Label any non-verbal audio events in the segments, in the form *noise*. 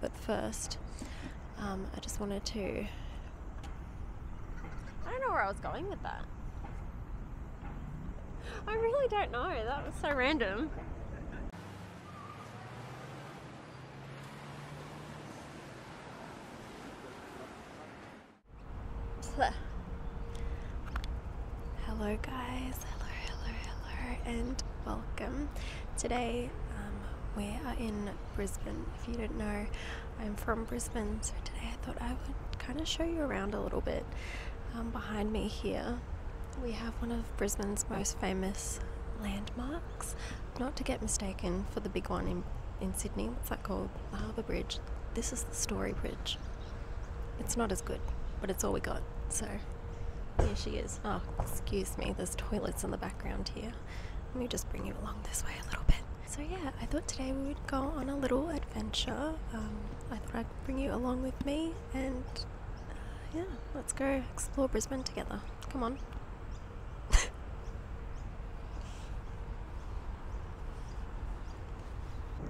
But first, um, I just wanted to. I don't know where I was going with that. I really don't know. That was so random. Hello, guys. Hello, hello, hello, and welcome. Today, um, we are in Brisbane. If you don't know, I'm from Brisbane, so today I thought I would kind of show you around a little bit. Um, behind me here, we have one of Brisbane's most famous landmarks. Not to get mistaken for the big one in, in Sydney. What's that called? The Harbour Bridge. This is the Story Bridge. It's not as good, but it's all we got, so here she is. Oh, excuse me, there's toilets in the background here. Let me just bring you along this way a little bit. So yeah, I thought today we would go on a little adventure. Um, I thought I'd bring you along with me and uh, yeah, let's go explore Brisbane together. Come on. *laughs*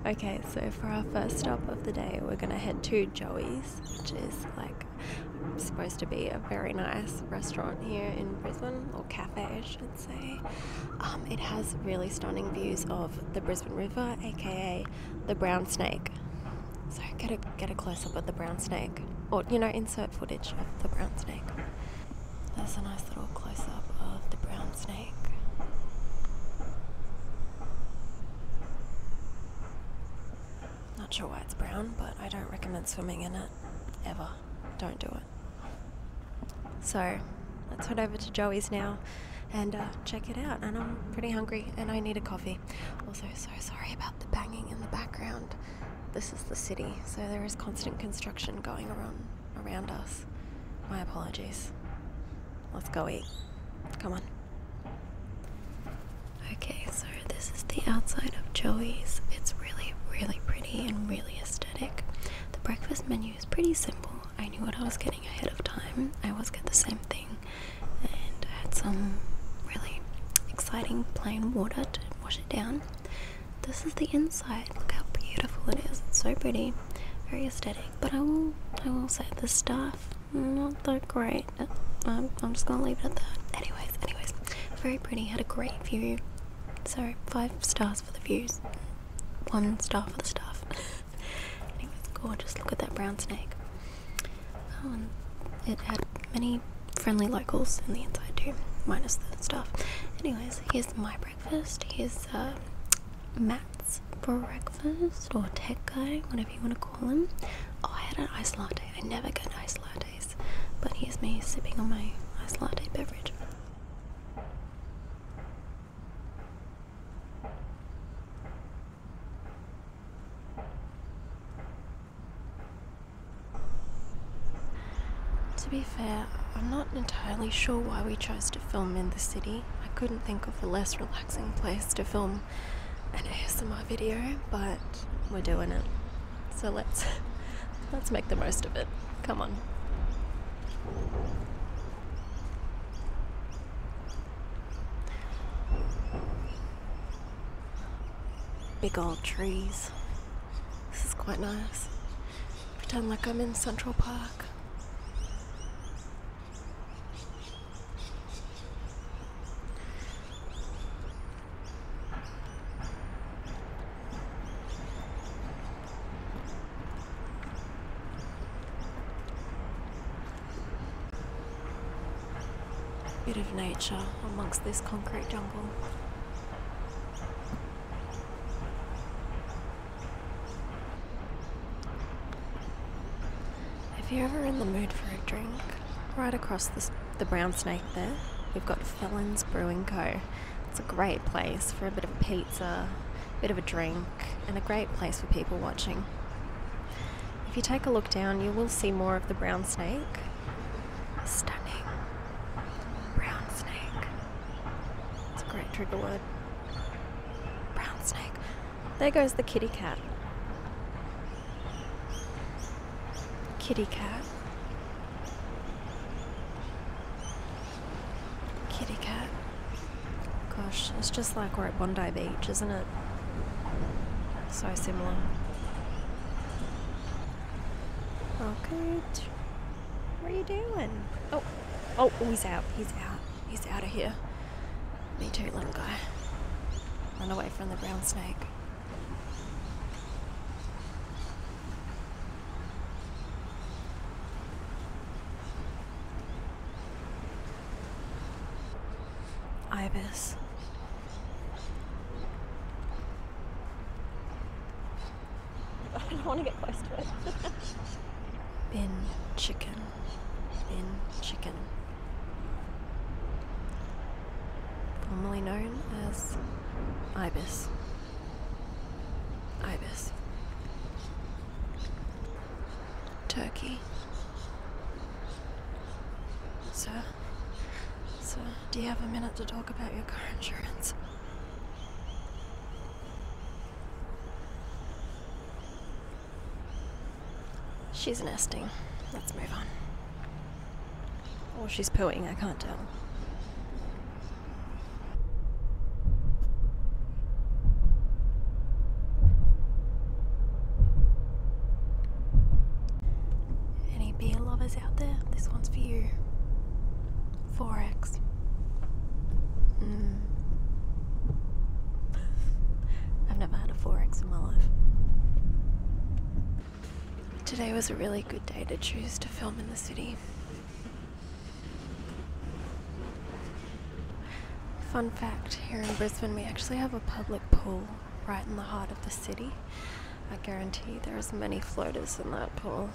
Okay, so for our first stop of the day, we're gonna head to Joey's, which is like like supposed to be a very nice restaurant here in Brisbane, or cafe, I should say. Um, it has really stunning views of the Brisbane River, aka the Brown Snake. So get a get a close up of the brown snake, or you know, insert footage of the brown snake. That's a nice little close up of the brown snake. Not sure why it's brown, but I don't recommend swimming in it. Ever. Don't do it. So, let's head over to Joey's now and uh, check it out. And I'm pretty hungry and I need a coffee. Also, so sorry about the banging in the background. This is the city, so there is constant construction going around, around us. My apologies. Let's go eat. Come on. Okay, so this is the outside of Joey's. It's really, really pretty and really aesthetic. The breakfast menu is pretty simple. I knew what I was getting ahead of time. I always get the same thing, and I had some really exciting plain water to wash it down. This is the inside. Look how beautiful it is. It's so pretty, very aesthetic. But I will, I will say the staff not that great. I'm, just gonna leave it at that. Anyways, anyways, very pretty. Had a great view. Sorry, five stars for the views. One star for the staff. *laughs* anyways, gorgeous. Look at that brown snake. Oh, it had many friendly locals in the inside too, minus the stuff. Anyways, here's my breakfast. Here's uh, Matt's breakfast or tech guy, whatever you want to call him. Oh, I had an ice latte. I never get ice lattes, but here's me sipping on my ice latte beverage. To be fair, I'm not entirely sure why we chose to film in the city. I couldn't think of a less relaxing place to film an ASMR video, but we're doing it. So let's *laughs* let's make the most of it. Come on. Big old trees. This is quite nice. Pretend like I'm in Central Park. Bit of nature amongst this concrete jungle. If you're ever in the mood for a drink, right across the, the Brown Snake there, we've got Felon's Brewing Co. It's a great place for a bit of a pizza, a bit of a drink, and a great place for people watching. If you take a look down, you will see more of the brown snake. Stunning. Brown snake. It's a great trigger word. Brown snake. There goes the kitty cat. Kitty cat. Kitty cat. Gosh, it's just like we're at Bondi Beach, isn't it? So similar. Okay. What are you doing? Oh, oh, oh he's out. He's out. He's out of here. Me too, little guy. Run away from the brown snake. Ibis. *laughs* I don't want to get close to it. Bin chicken in chicken, formerly known as ibis. Ibis. Turkey. Sir, sir, do you have a minute to talk about your car insurance? She's nesting. Let's move on. Or she's pooping. I can't tell. Any beer lovers out there? This one's for you. Forex. Mm. I've never had a 4 in my life. Today was a really good day to choose to film in the city. Fun fact here in Brisbane, we actually have a public pool right in the heart of the city. I guarantee there are as many floaters in that pool.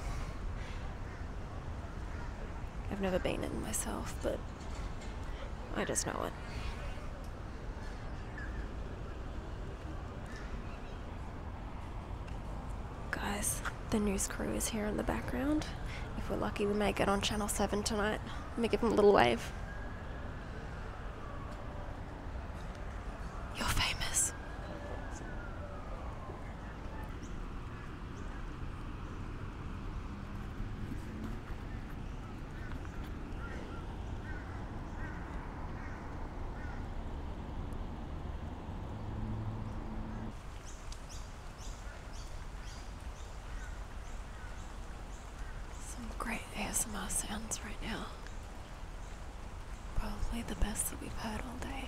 I've never been in myself, but I just know it. Guys, the news crew is here in the background. If we're lucky, we may get on Channel 7 tonight. Let me give them a little wave. You're famous. Some great ASMR sounds right now. Probably the best that we've heard all day.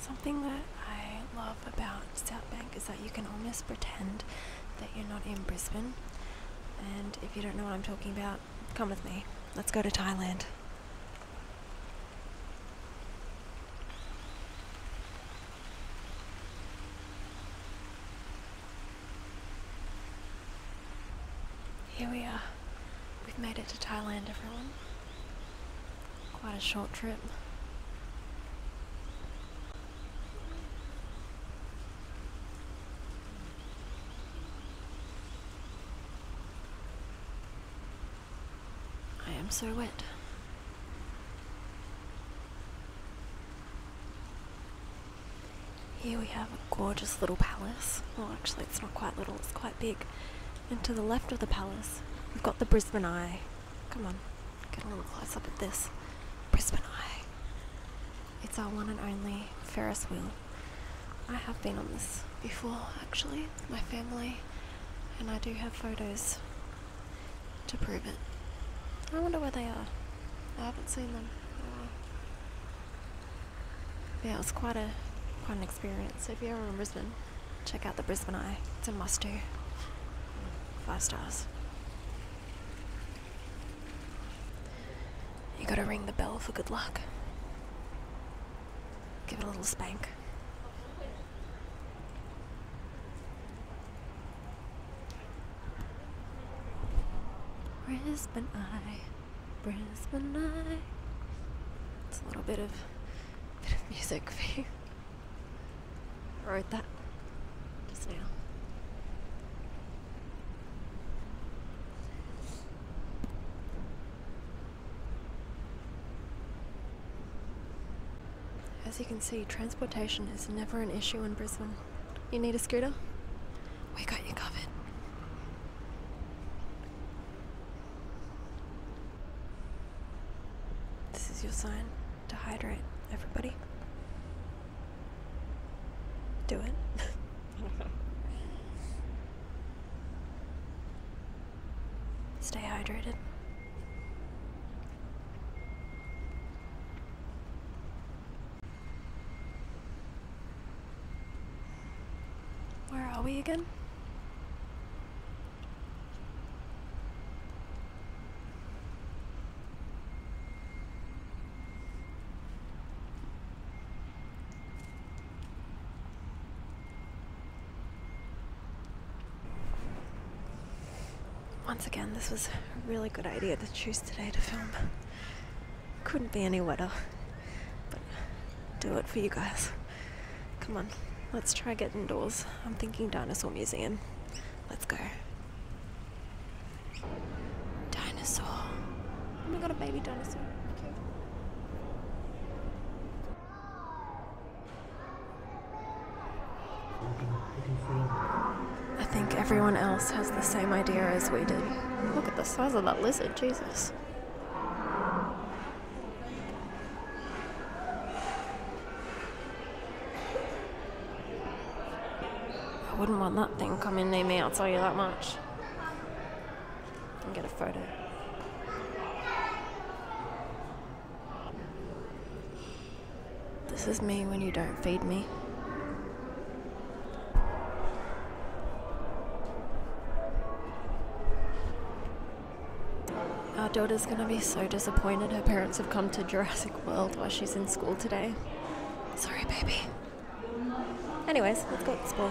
Something that I love about South Bank is that you can almost pretend that you're not in Brisbane. And if you don't know what I'm talking about, come with me. Let's go to Thailand. Here we are. We've made it to Thailand, everyone. Quite a short trip. I am so wet. Here we have a gorgeous little palace. Well, actually, it's not quite little, it's quite big. And to the left of the palace, we've got the Brisbane Eye. Come on, get a little close up at this. Brisbane Eye. It's our one and only Ferris wheel. I have been on this before, actually my family, and I do have photos to prove it. I wonder where they are. I haven't seen them. Yeah, it was quite a quite an experience. If you're ever in Brisbane, check out the Brisbane Eye. It's a must do. Five stars. You gotta ring the bell for good luck. Give it a little spank back. Brisbane Eye, Brisbane It's a little bit of, bit of music for you. I wrote that just now. As you can see, transportation is never an issue in Brisbane. You need a scooter? We got you covered. This is your sign to hydrate, everybody. Do it. *laughs* Stay hydrated. Where are we again? Once again, this was a really good idea to choose today to film. Couldn't be any wetter. But do it for you guys. Come on, let's try get indoors. I'm thinking dinosaur museum. Let's go. Dinosaur. We oh my god, a baby dinosaur. I think everyone else has the same idea as we do. Look at the size of that lizard, Jesus. I wouldn't want that thing coming near me, I'll tell you that much and get a photo. This is me when you don't feed me. Our daughter's gonna be so disappointed her parents have come to Jurassic World while she's in school today. Sorry, baby. Anyways, let's go to school.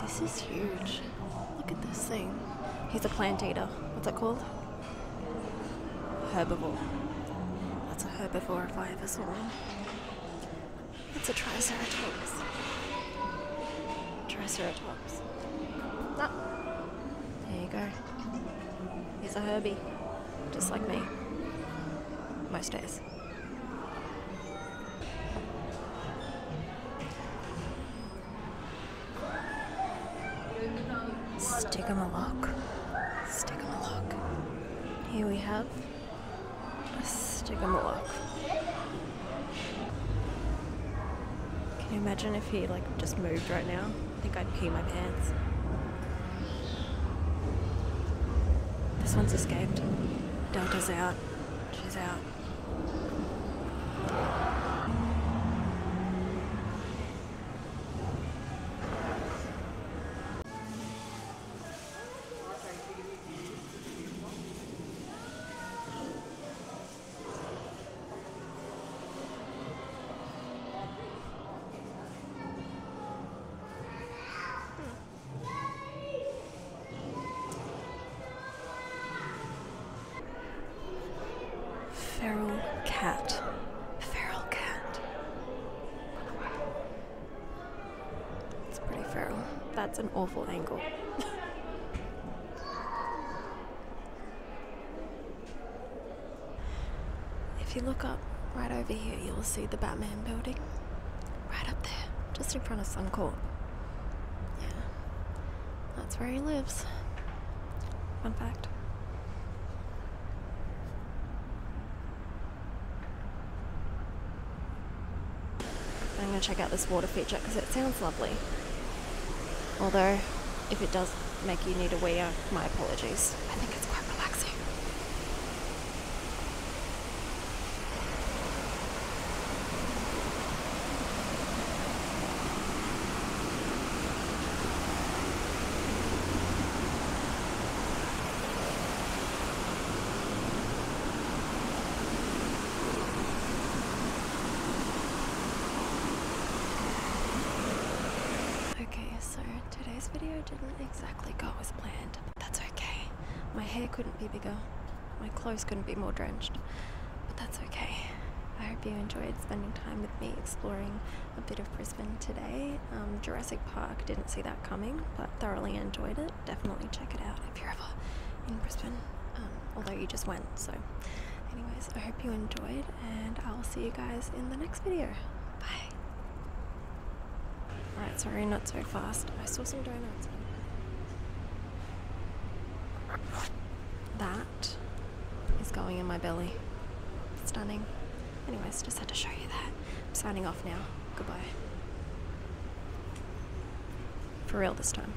This is huge. Look at this thing. He's a plant eater. What's that called? Herbivore. That's a herbivore if I ever saw one. a triceratops. Triceratops. Ah. There you go. He's a Herbie. Just like me. Most days. Stick him a lock. Stick him a lock. Here we have stick him a lock. Can you imagine if he like just moved right now? I think I'd pee my pants. This one's escaped. Delta's out. She's out. Feral cat. Feral cat. It's pretty feral. That's an awful angle. *laughs* If you look up right over here, you'll see the Batman building. Right up there, just in front of Suncorp. Yeah, that's where he lives. Fun fact. I'm going to check out this water feature because it sounds lovely. Although, if it does make you need a wee, my apologies. I think it's quite relaxing. Okay, so Today's video didn't exactly go as planned, but that's okay. My hair couldn't be bigger, my clothes couldn't be more drenched, but that's okay. I hope you enjoyed spending time with me exploring a bit of Brisbane today. Um, Jurassic Park didn't see that coming, but thoroughly enjoyed it. Definitely check it out if you're ever in Brisbane, um, although you just went, so. Anyways, I hope you enjoyed and I'll see you guys in the next video. Bye. Alright, sorry, not so fast. I saw some donuts. That is going in my belly. Stunning. Anyways, just had to show you that. I'm signing off now. Goodbye. For real this time.